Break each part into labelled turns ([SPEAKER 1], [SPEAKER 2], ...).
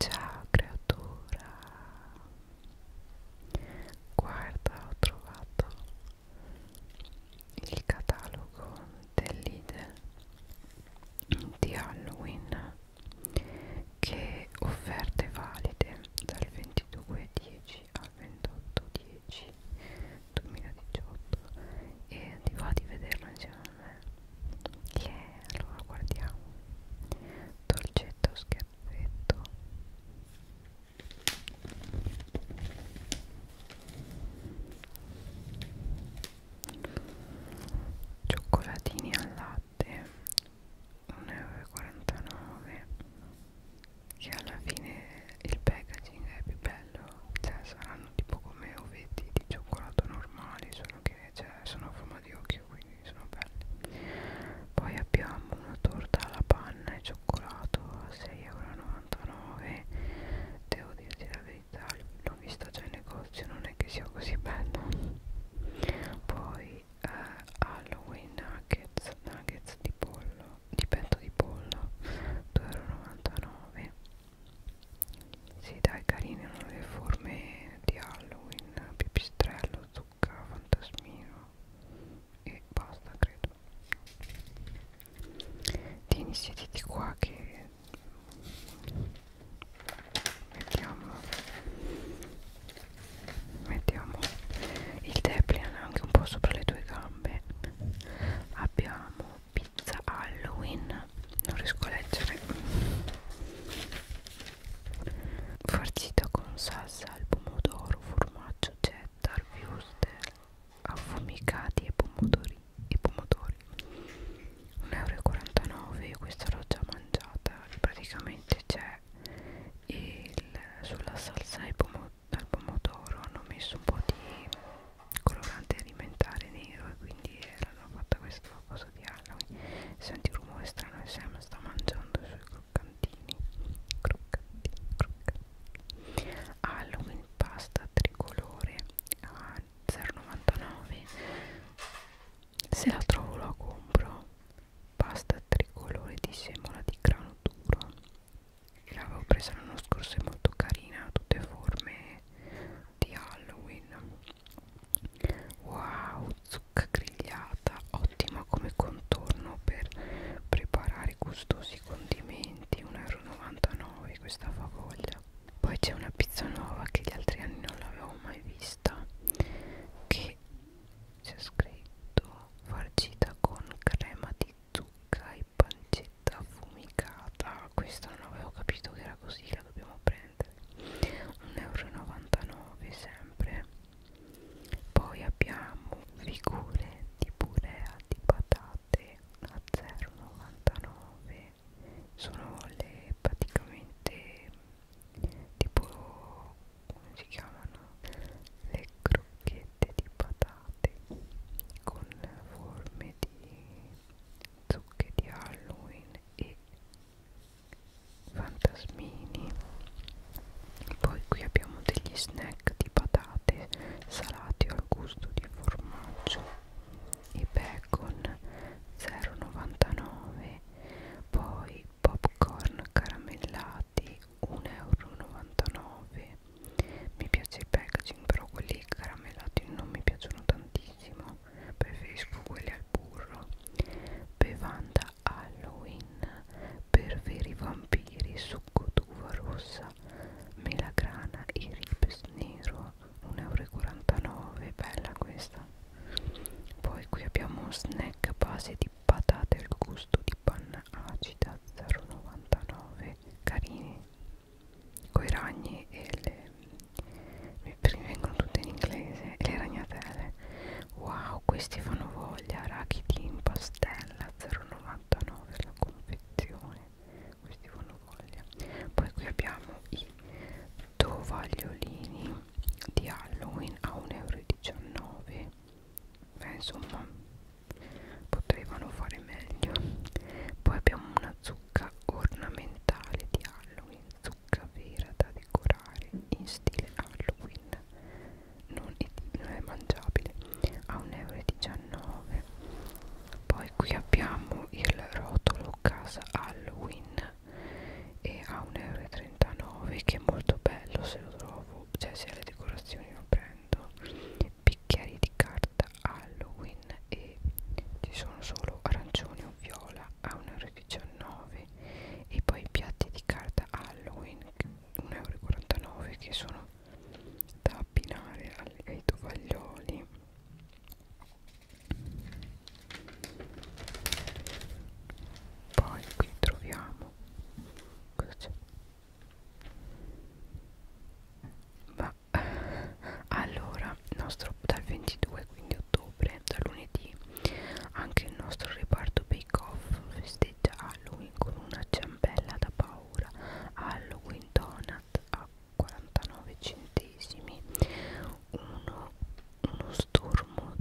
[SPEAKER 1] Ciao creatura, guarda ho trovato il catalogo dell'IDE di Halloween che offerte valide dal 22.10 al 28.10 2018 e ti va di vederlo insieme a me che yeah, allora guardiamo dolcetto scherzetto cioccolatini al latte 1,49€ che alla fine il packaging è più bello cioè saranno tipo come ovetti di cioccolato normali solo che cioè, sono a forma forma di occhio quindi sono belli poi abbiamo una torta alla panna e cioccolato a 6,99€ devo dirti la verità l'ho vista già in negozio non è che sia così bella poi eh, Halloween nuggets nuggets di pollo di petto di pollo 2,99€ sì dai carine hanno le forme di Halloween, pipistrello, zucca, fantasmino e basta credo Tieni sediti qua che mettiamo mettiamo il Deplian anche un po' sopra le tue gambe abbiamo pizza Halloween non riesco a leggere farcita con salsa al pomodoro, formaggio, cheddar, wurstel affumicati e pomodori e pomodori 1,49 euro questa l'ho già mangiata praticamente c'è sulla salsa ai pomodori al pomodoro hanno messo un po' di colorante alimentare nero e quindi l'hanno fatta questa posso di Halloween senti un rumore strano e Sam sta mangiando i suoi croccantini croccantini croccantini Halloween pasta tricolore ah, a 0,99 se la trovo la compro pasta tricolore di semola di grano duro l'avevo presa l'anno scorso è molto carina tutte forme di Halloween wow zucca grigliata ottima come contorno per preparare gustosi condimenti 1,99 euro questa favoglia poi c'è una pizza nuova che gli altri anni non l'avevo mai vista che c'è scritto farcita con crema di zucca e pancetta affumicata questa non avevo capito che era così la dobbiamo prendere prendere 1,99 euro sempre poi abbiamo figure di purea di patate a 0,99 sono le praticamente tipo come si chiamano le crocchette di patate con forme di zucche di Halloween e fantasmini poi qui abbiamo degli snack di patate salati al gusto di formaggio e bacon 0,99 poi popcorn caramellati 1,99 euro mi piace il packaging però quelli caramellati non mi piacciono tantissimo no, preferisco quelli al burro bevanda Halloween per veri vampiri succo d'uva rossa melagrana e ribes nero 1,49 euro bella questa poi qui abbiamo snack a base di patate al gusto di panna acida 0,99 carini coi ragni e le perché vengono tutte in inglese e le ragnatele wow questi fanno voglia arachidi in pastella 0,99 la confezione questi fanno voglia poi qui abbiamo i tovagliolini di Halloween a 1,19 euro beh insomma potevano fare meglio poi abbiamo una zucca ornamentale di Halloween zucca vera da decorare in stile Halloween non è, non è mangiabile a 1,19 euro poi qui abbiamo il rotolo casa Halloween e a 1,39 euro che è molto bello se lo trovo cioè se ha le decorazioni lo prendo bicchieri di carta Halloween e ci sono solo arancione o viola a 1,19 1,19€ e poi i piatti di carta Halloween 1,49€ che sono da abbinare ai tovaglioli poi qui troviamo cosa ma allora nostro dal 22 al 15 ottobre, da lunedì, anche il nostro reparto Bake Off festeggia Halloween con una ciambella da paura, Halloween Donut a 49 centesimi, uno, uno stormo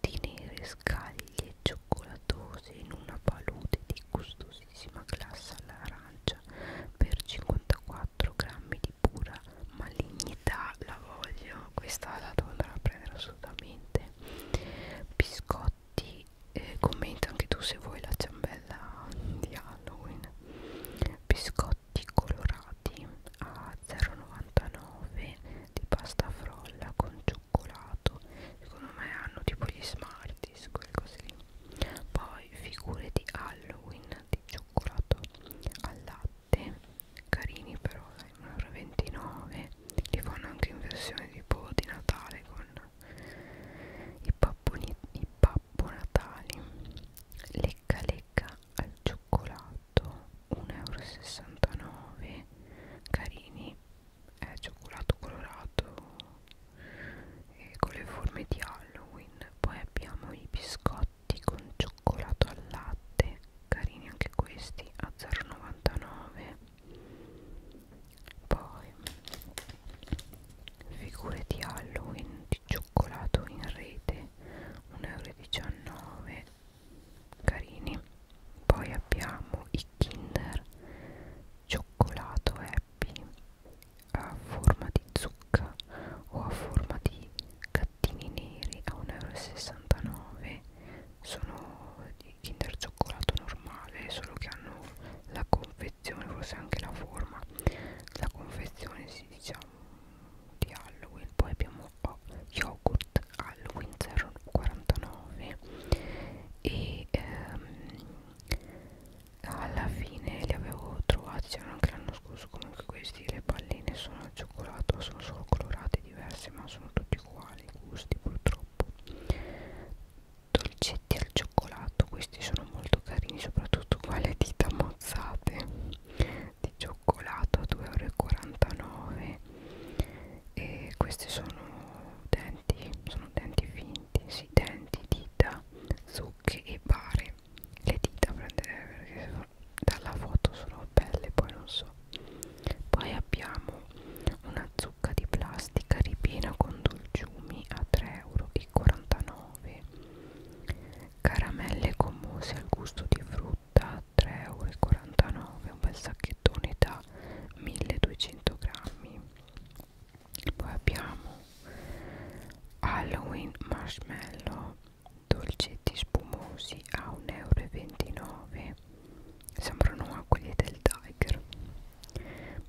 [SPEAKER 1] di nere scaglie cioccolatose in una palude di gustosissima glassa all'arancia per 54,99 4 grammi di pura malignità la voglio questa la devo andare a prendere assolutamente biscotti eh, commenta anche tu se vuoi la ciambella di Halloween biscotti colorati a 0,99 di pasta frolla con cioccolato secondo me hanno tipo gli smarties quelle cose lì poi figure di Halloween di cioccolato al latte latte carini però dai 1,29€ li fanno anche in versione tipo di Natale con i, papponi, i pappo natali lecca lecca al cioccolato 1,69€ carini è cioccolato colorato e con le forme di Halloween poi abbiamo i biscotti biscotti con cioccolato al latte carini anche questi a 0,99 poi figure di Halloween di cioccolato in rete 1,19 euro carini poi abbiamo i Kinder cioccolato happy a forma di zucca o a forma di pattini neri a 1,69 euro sono di kinder cioccolato normale solo che hanno la confezione forse anche la forma la confezione si diciamo di Halloween poi abbiamo oh, yogurt Halloween 0,49 e ehm, alla fine li avevo trovati c'erano anche l'anno l'anno scorso comunque questi le palline sono al cioccolato sono solo colorate diverse ma sono tutti uguali i gusti purtroppo dolcetti al cioccolato questi sono molto carini soprattutto qua le dita mozzate di cioccolato a 2,49 euro e questi sono denti sono denti finti sì denti dita zucche e bare le dita prendere perché dalla foto sono belle poi non so poi abbiamo una zucca di plastica ripiena con dolciumi a 3,49 euro caramelle commose al gusto di frutta a 3,49 euro un bel sacchettone da 1200 grammi poi abbiamo Halloween marshmallow dolcetti spumosi a 1,29 euro sembrano acqui del Tiger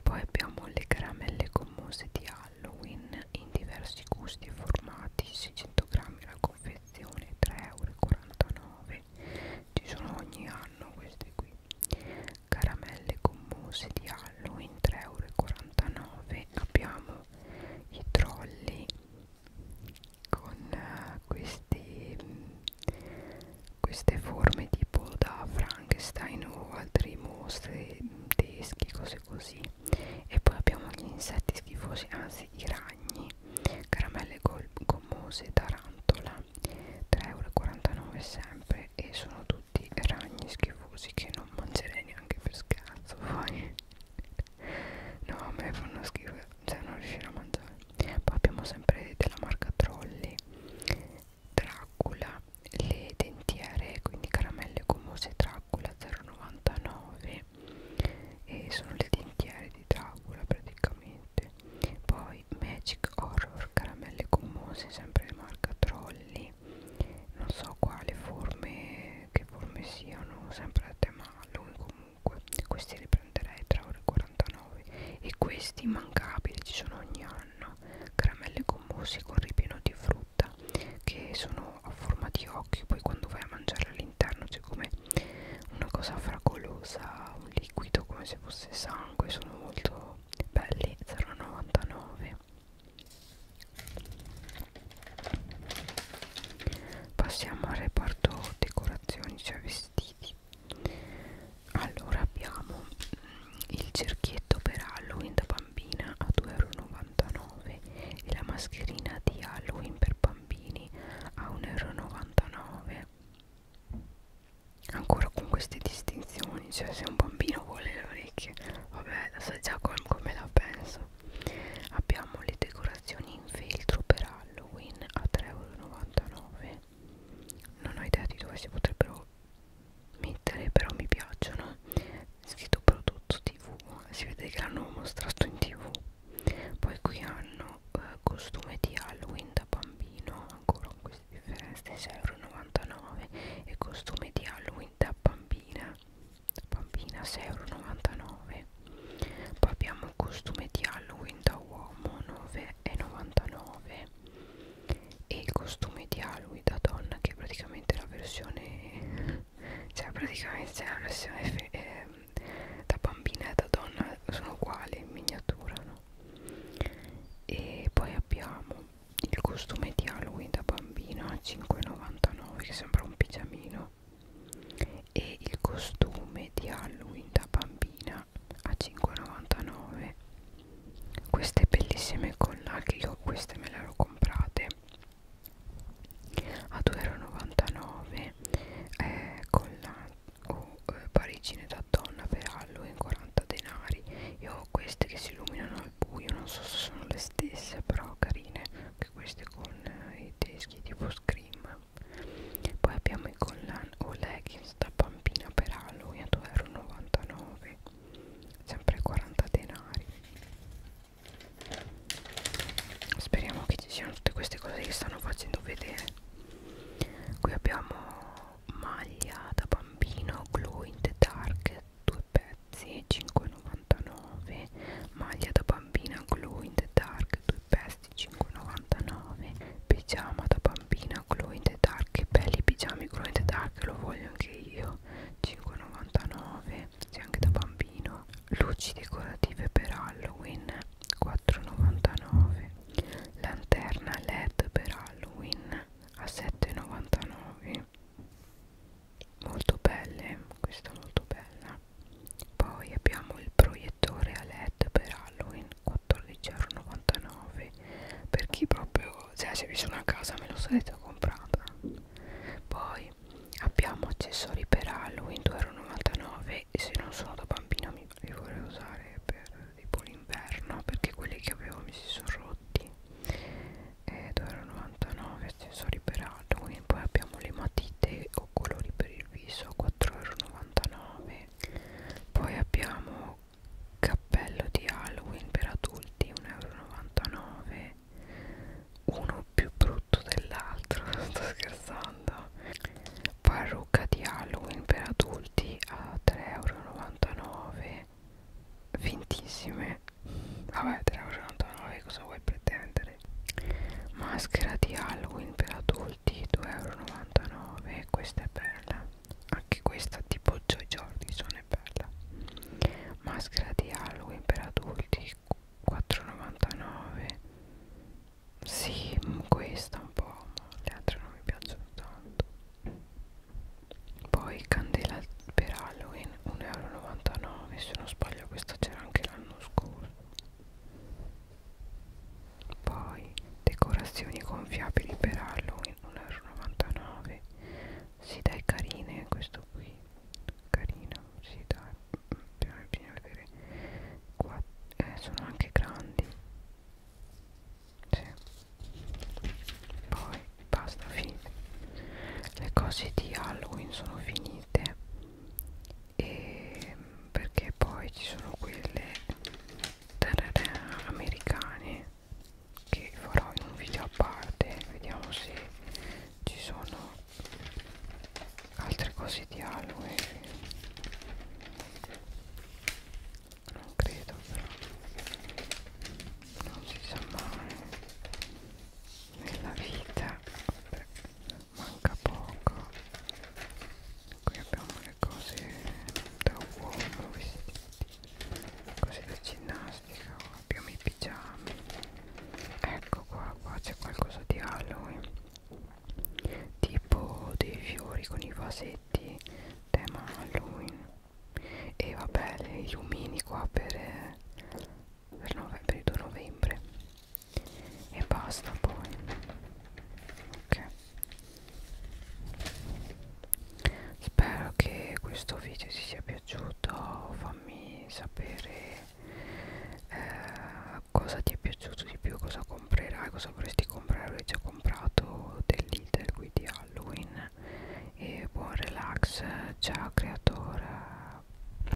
[SPEAKER 1] poi abbiamo le caramelle commose di Halloween in diversi gusti e formati 600 grammi la confezione 3,49 euro ci sono ogni anno queste qui caramelle commose di Halloween 3,49 euro abbiamo i trolli con eh, questi, mh, queste forme tipo da Frankenstein o altri mostri tedeschi, cose così e poi abbiamo gli insetti schifosi, anzi i ragni caramelle gommose tarantola 3,49€ sempre e sono tutti ragni schifosi che non mangerei neanche per scherzo poi No, a me fanno schifo, cioè non riuscire a mangiare. Poi abbiamo sempre della marca Trolli, Dracula, le dentiere, quindi caramelle gomose Dracula 0,99 e sono le dentiere di Dracula praticamente. Poi Magic Horror, caramelle gommose, sempre marca Trolli non so quale forme che forme siano sempre a tema Malone comunque questi li prenderei 3,49 euro e questi immancabili ci sono ogni anno caramelle commossi con ripieno di frutta che sono a forma di occhio poi quando vai a mangiare all'interno c'è come una cosa fragolosa un liquido come se fosse sangue sono molto belli 0,99 passiamo al reparto decorazioni cioè vestiti allora abbiamo mm, il cerchietto per Halloween da bambina a 2,99€ e la mascherina di Halloween per bambini a 1,99€ ancora con queste distinzioni cioè se un bambino vuole le orecchie vabbè lo so già com come la penso abbiamo le decorazioni in feltro per Halloween a 3,99 euro non ho idea di dove si potrebbero mettere però mi piacciono scritto prodotto tv si vede che l'hanno mostrato in tv poi qui hanno eh, costume di Halloween da bambino ancora con queste differenze 6,99 euro e costume di Halloween da bambina bambina 6,99 poi abbiamo il costume di Halloween da uomo 9,99 e il costume di Halloween da donna che è praticamente la versione cioè praticamente la versione eh, da bambina e da donna sono uguali in miniatura no? e poi abbiamo il costume di Halloween da bambino a 5,99 che sembra un pigiamino e il costume di Halloween da bambina a 5,99 queste bellissime collage io queste me le ero comprate a 2,99 eh, collane o oh, eh, parigine da donna per Halloween 40 denari io ho queste che si illuminano al buio non so se sono le stesse però carine anche queste con eh, i teschi tipo Scream poi abbiamo i collan o leggings da pampina per Halloween a 2,99€ sempre 40 denari speriamo che ci siano tutte queste cose che stanno facendo vedere qui abbiamo maglia da bambino glow in the dark due pezzi 5,99 2,99 maglia da bambina glow in the dark 2 pesti 5,99 pigiama da bambina glow in the dark che belli pigiami glow in the dark lo voglio anche io 5,99 sì, anche da bambino luci decorative per Halloween 4,99 lanterna led per Halloween a 7,99 molto belle questa è molto bella poi abbiamo il proiettore a led per Halloween 14,99€ per chi proprio cioè se vi sono a casa me lo sarete comprata poi abbiamo accessori per Halloween 2,99€ e se non sono da bambino mi, li vorrei usare per tipo l'inverno perché quelli che avevo mi si sono rotti e 2,99 accessori per Halloween poi abbiamo le matite matite o colori per il viso a 4,99€ poi abbiamo cappello di Halloween per adulti 1,99€ uno più brutto dell'altro sto scherzando parrucca di Halloween per adulti a 3,99€ fintissime vabbè 3,99€ cosa vuoi pretendere maschera di Halloween per adulti 2,99€ questa è bella anche questa tipo Joy Jordison è bella maschera di Halloween per adulti 4,99 sì mm, questa un po' ma le altre non mi piacciono tanto poi candela per Halloween 1,99€ se non sbaglio questa c'era anche l'anno scorso poi decorazioni gonfiabili per Halloween 1,99€ si sì, dai carine questo qui carino si sì, dai bisogna, bisogna vedere Qua, eh, sono anche grandi sì. poi basta fine le cose di Halloween sono finite e perché poi ci sono quelle tarara, americane che farò in un video a parte vediamo se ci sono altre cose di Halloween non credo però non si sa mai nella vita Vabbè manca poco qui abbiamo le cose da uomo vestiti cose da ginnastica abbiamo i pigiami ecco qua qua c'è qualcosa di Halloween tipo dei fiori con i vasetti tema Halloween e vabbè gli umini qua per, eh, per, nove, per il 2 novembre e basta poi ok spero che questo video ti sia piaciuto fammi sapere eh, cosa ti è piaciuto di più cosa comprerai cosa vorresti comprare ho già comprato dell'iter qui di halloween e buon relax ciao creatore